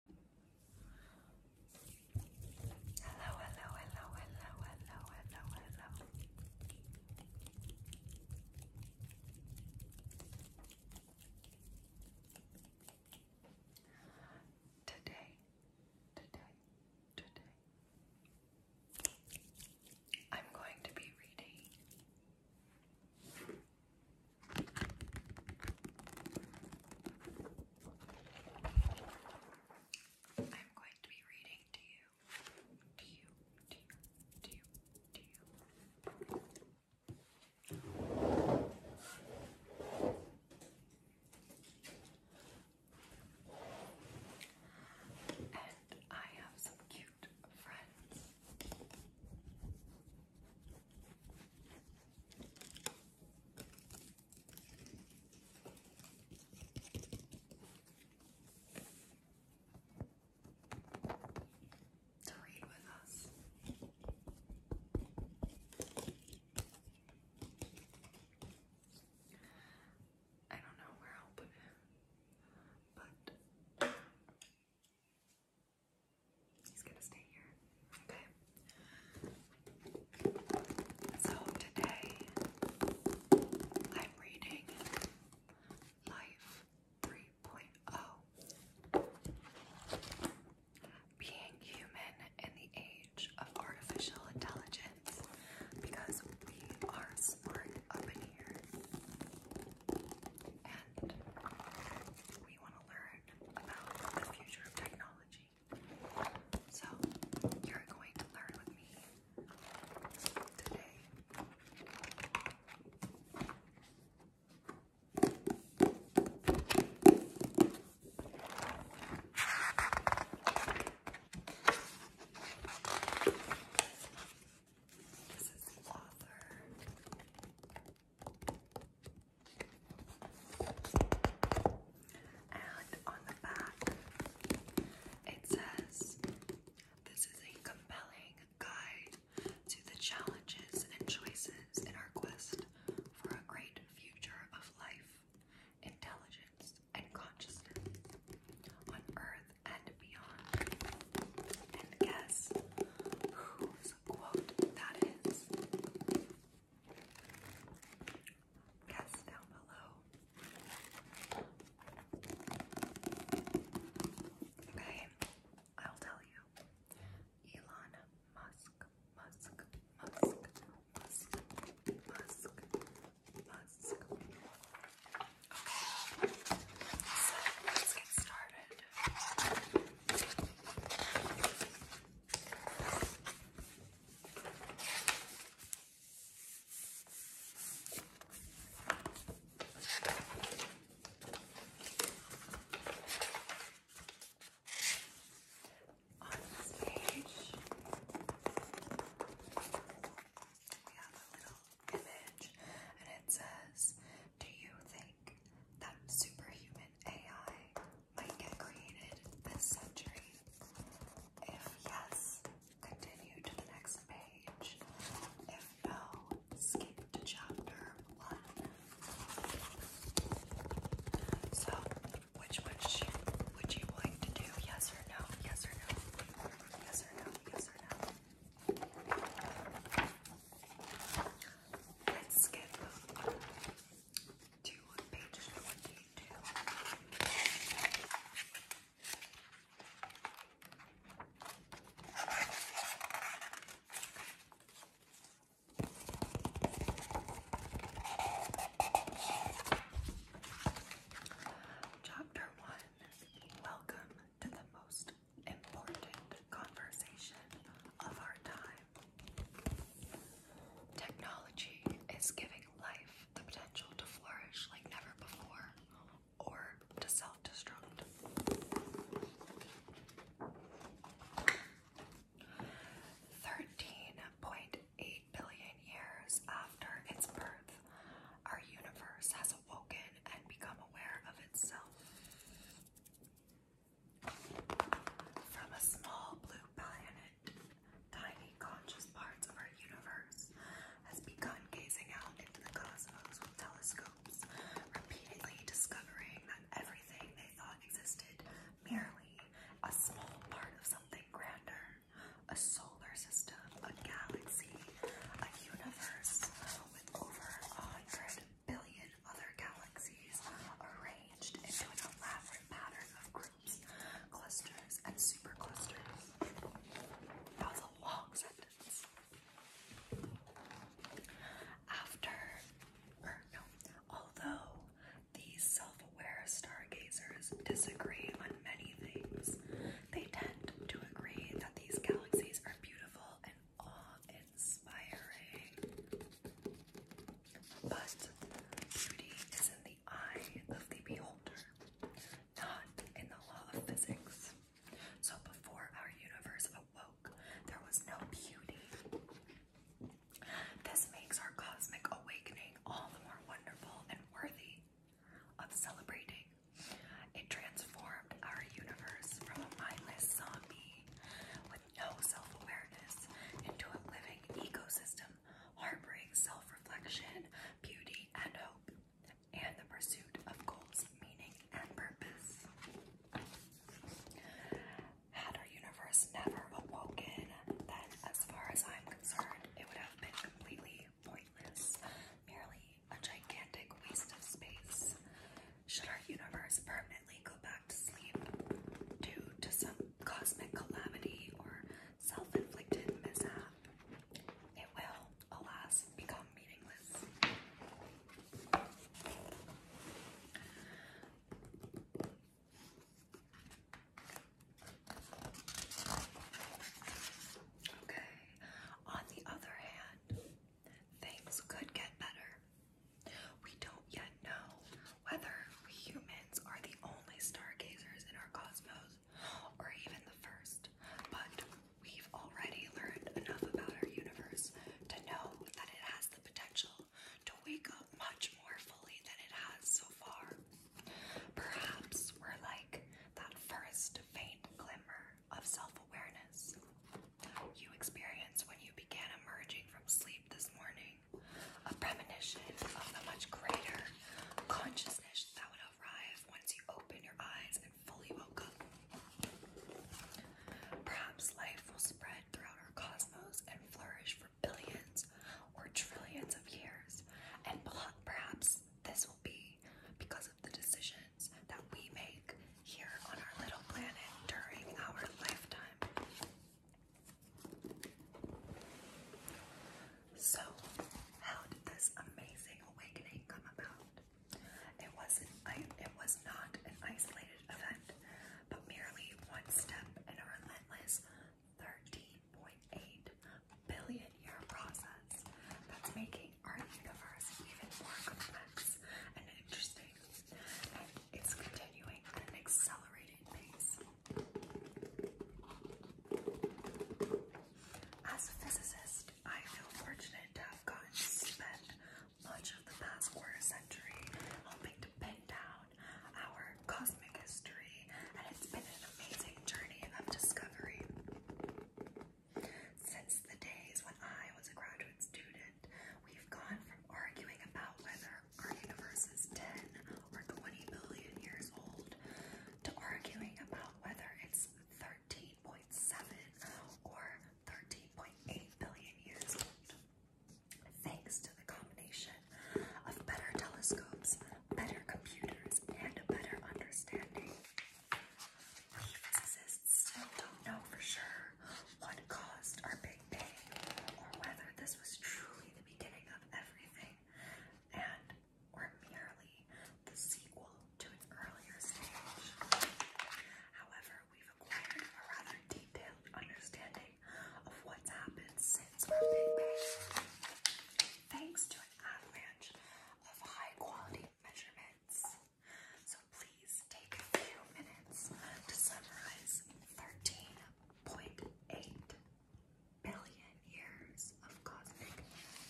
Hello, hello, hello, hello, hello, hello, hello. Today, today, today, I'm going to be reading I'm going to be reading to you, to you, to you, to you, to you. And I have some cute friends to read with us. I don't know where I'll put it, but He's gonna stay here. Okay. So today I'm reading Life 3.0 Being Human in the Age of Artificial Intelligence because we are smart up in here and we want to learn about the future of technology energy. So, you're going to learn with me today. This is the author. And on the back, it says, This is a compelling guide to the challenges and choices in our quest for a great future of life, intelligence, and consciousness on earth and beyond. And guess whose quote that is guess down below. Okay, I'll tell you. Elon Musk, Musk, Musk, Musk, Musk, Musk. Okay, so let's get started. On this page, we have a little image, and it says, Do you think that superhuman AI might get created this century? If yes, continue to the next page. If no, skip to chapter one. So, which one would you like to do? Yes or no? Yes or no? Yes or no? Yes or no? Let's skip. Chapter 1 Welcome to the most important conversation of our time. Technology is giving life the potential to flourish like never before or to self destruct. Thirteen point eight billion years after its birth, our universe has awoken and become aware of itself. From a small blue planet, tiny conscious parts of our universe has begun gazing out into the cosmos with telescopes, repeatedly discovering that everything they thought existed merely a small part of something grander, a solar system, a galaxy, a universe with over a hundred billion and other galaxies arranged into an elaborate pattern of groups, clusters, and superclusters. That was a long sentence. After, or er, no, although these self-aware stargazers disagree on many things, they tend to agree that these galaxies are beautiful and awe-inspiring. But beauty is in the eye of the beholder, not in the law of physics. So before our universe awoke, there was no beauty. This makes our cosmic awakening all the more wonderful and worthy of celebrating. It transformed our universe from a mindless zombie no self awareness into a living ecosystem harboring self reflection, beauty, and hope, and the pursuit of goals, meaning, and purpose. Had our universe never awoken, then, as far as I'm concerned, it would have been completely pointless, merely a gigantic waste of space. Should our universe permanently go back? due to some cosmic calamity or self inflicted mishap, it will, alas, become meaningless. Okay, on the other hand, things could get better. We don't yet know whether we humans are the only stargazers in our cosmos or even the first, but we've already learned enough about our universe to know that it has the potential to wake up much more fully than it has so far. Perhaps we're like that first faint glimmer of self awareness you experienced when you began emerging from sleep this morning a premonition of the much greater consciousness that would arrive once you open your eyes and fully woke up. Perhaps life will spread throughout our cosmos and flourish for billions or trillions of years, and perhaps this will be because of the decisions that we make here on our little planet during our lifetime. So, how did this amazing awakening come about? It wasn't it was not an isolated event, but merely one step in a relentless 13.8 billion year process that's making our universe even more complex and interesting. And it's continuing at an accelerating pace. As a physicist, I feel fortunate to have gotten to spend much of the past quarter century helping to pin down our cosmic history, and it's been an amazing journey of discovery. Since the days when I was a graduate student, we've gone from arguing about whether our universe is 10 or 20 billion years old to arguing about whether it's 13.7 or 13.8 billion years old. Thanks to the combination of better telescopes, better computers, and a better understanding, we physicists still don't know for sure what caused our Big Bang or whether this was truly the beginning merely the sequel to an earlier stage. However, we've acquired a rather detailed understanding of what's happened since Big Bang. Thanks to an avalanche of high quality measurements. So please take a few minutes to summarize 13 Point eight billion years of cosmic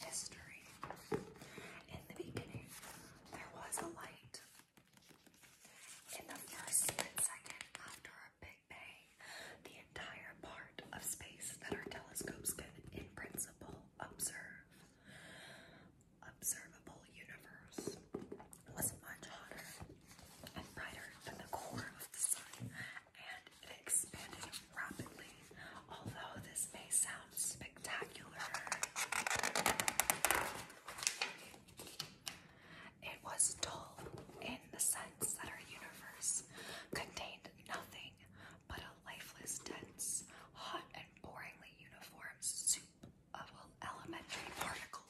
history. In the beginning, there was a light. In the first split second after a Big Bang, the entire part of space that our telescopes can, in principle, observe observable universe was much hotter and brighter than the core of the sun, and it expanded rapidly, although this may sound spectacular. It was dull in the sense that our universe contained nothing but a lifeless, dense, hot, and boringly uniform soup of elementary particles.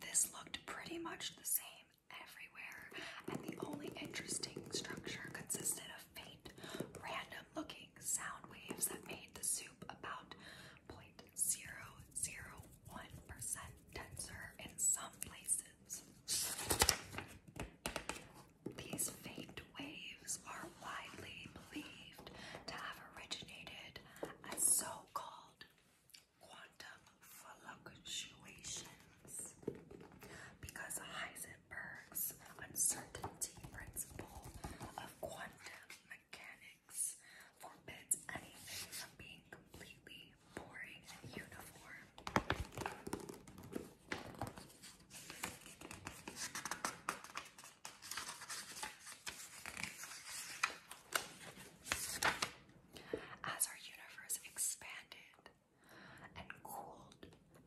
This looked pretty much the same everywhere, and the only interesting structure consisted of faint, random looking sound waves that made the soup about 0.001% denser in some places. These faint waves are are widely believed to have originated a so-called quantum fluctuations because Heisenberg's uncertainty principle of quantum mechanics forbids anything from being completely boring and uniform. As our universe expanded and cooled,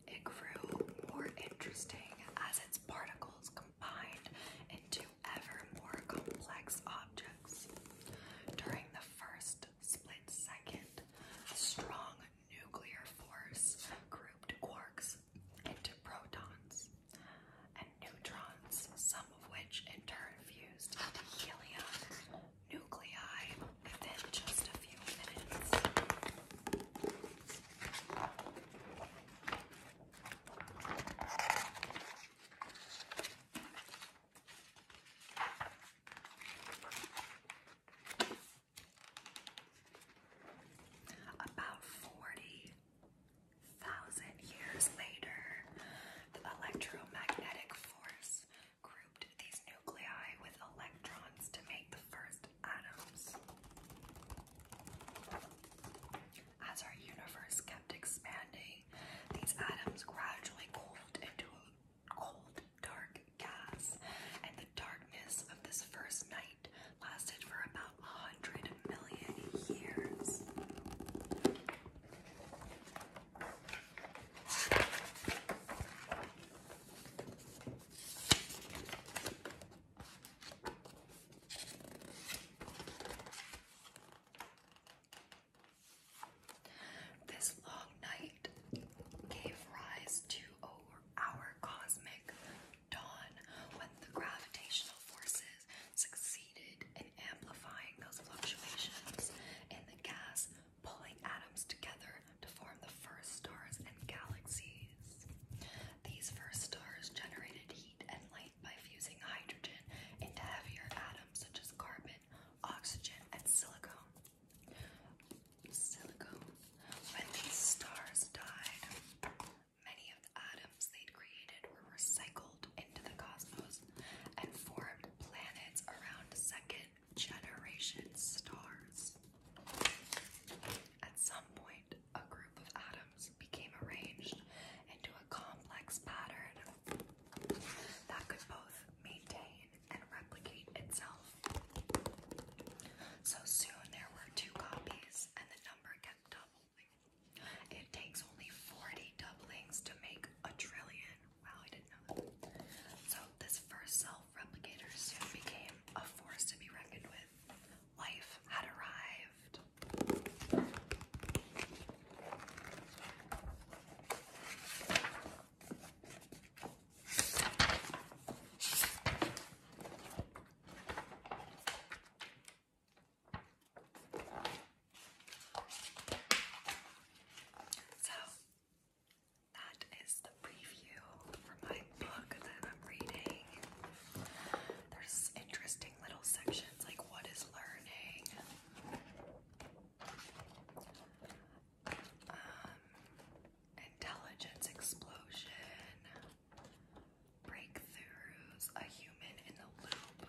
it grew more interesting as its particles combined into ever more complex objects. During the first split second, a strong nuclear force grouped quarks into protons and neutrons, some of which in turn fused into helium nuclei within just a few minutes. About 40,000 years later, the electromagnetic force grouped these nuclei with electrons to make the first atoms. As our universe kept expanding, these atoms gradually cooled into a cold, dark gas, and the darkness of this first night lasted for about a hundred million years. This long night gave rise to our cosmic dawn when the gravitational forces succeeded in amplifying those fluctuations in the gas, pulling atoms together to form the first stars and galaxies. These first stars generated heat and light by fusing hydrogen into heavier atoms such as carbon, oxygen, and silicon. Silicon. When these stars died, many of the atoms they'd created were recycled into the cosmos and formed planets around second generation stars. At some point, a group of atoms became arranged into a complex pattern that could both maintain and replicate itself. So soon there were two copies, and the number it takes only 40 doublings to make a trillion. Wow, I didn't know that. So, this first self replicator became a force to be reckoned with. Life had arrived. So that is the preview for my book that I'm reading. There's interesting little sections like what is learning. Um, intelligence explosion. Breakthroughs, a human in the loop,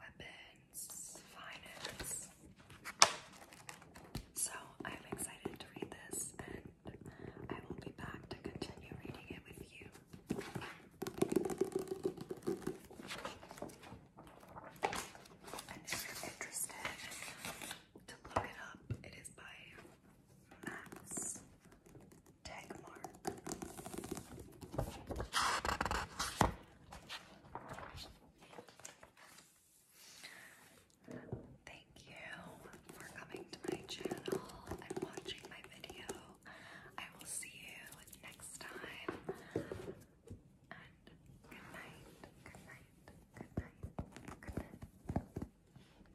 weapons, finance. So I'm excited to read this and I will be back to continue reading it with you. And if you're interested to look it up, it is by Max Tegmark. Thank you for coming to my channel and watching my video. I will see you next time. And good night, good night, good night, good night.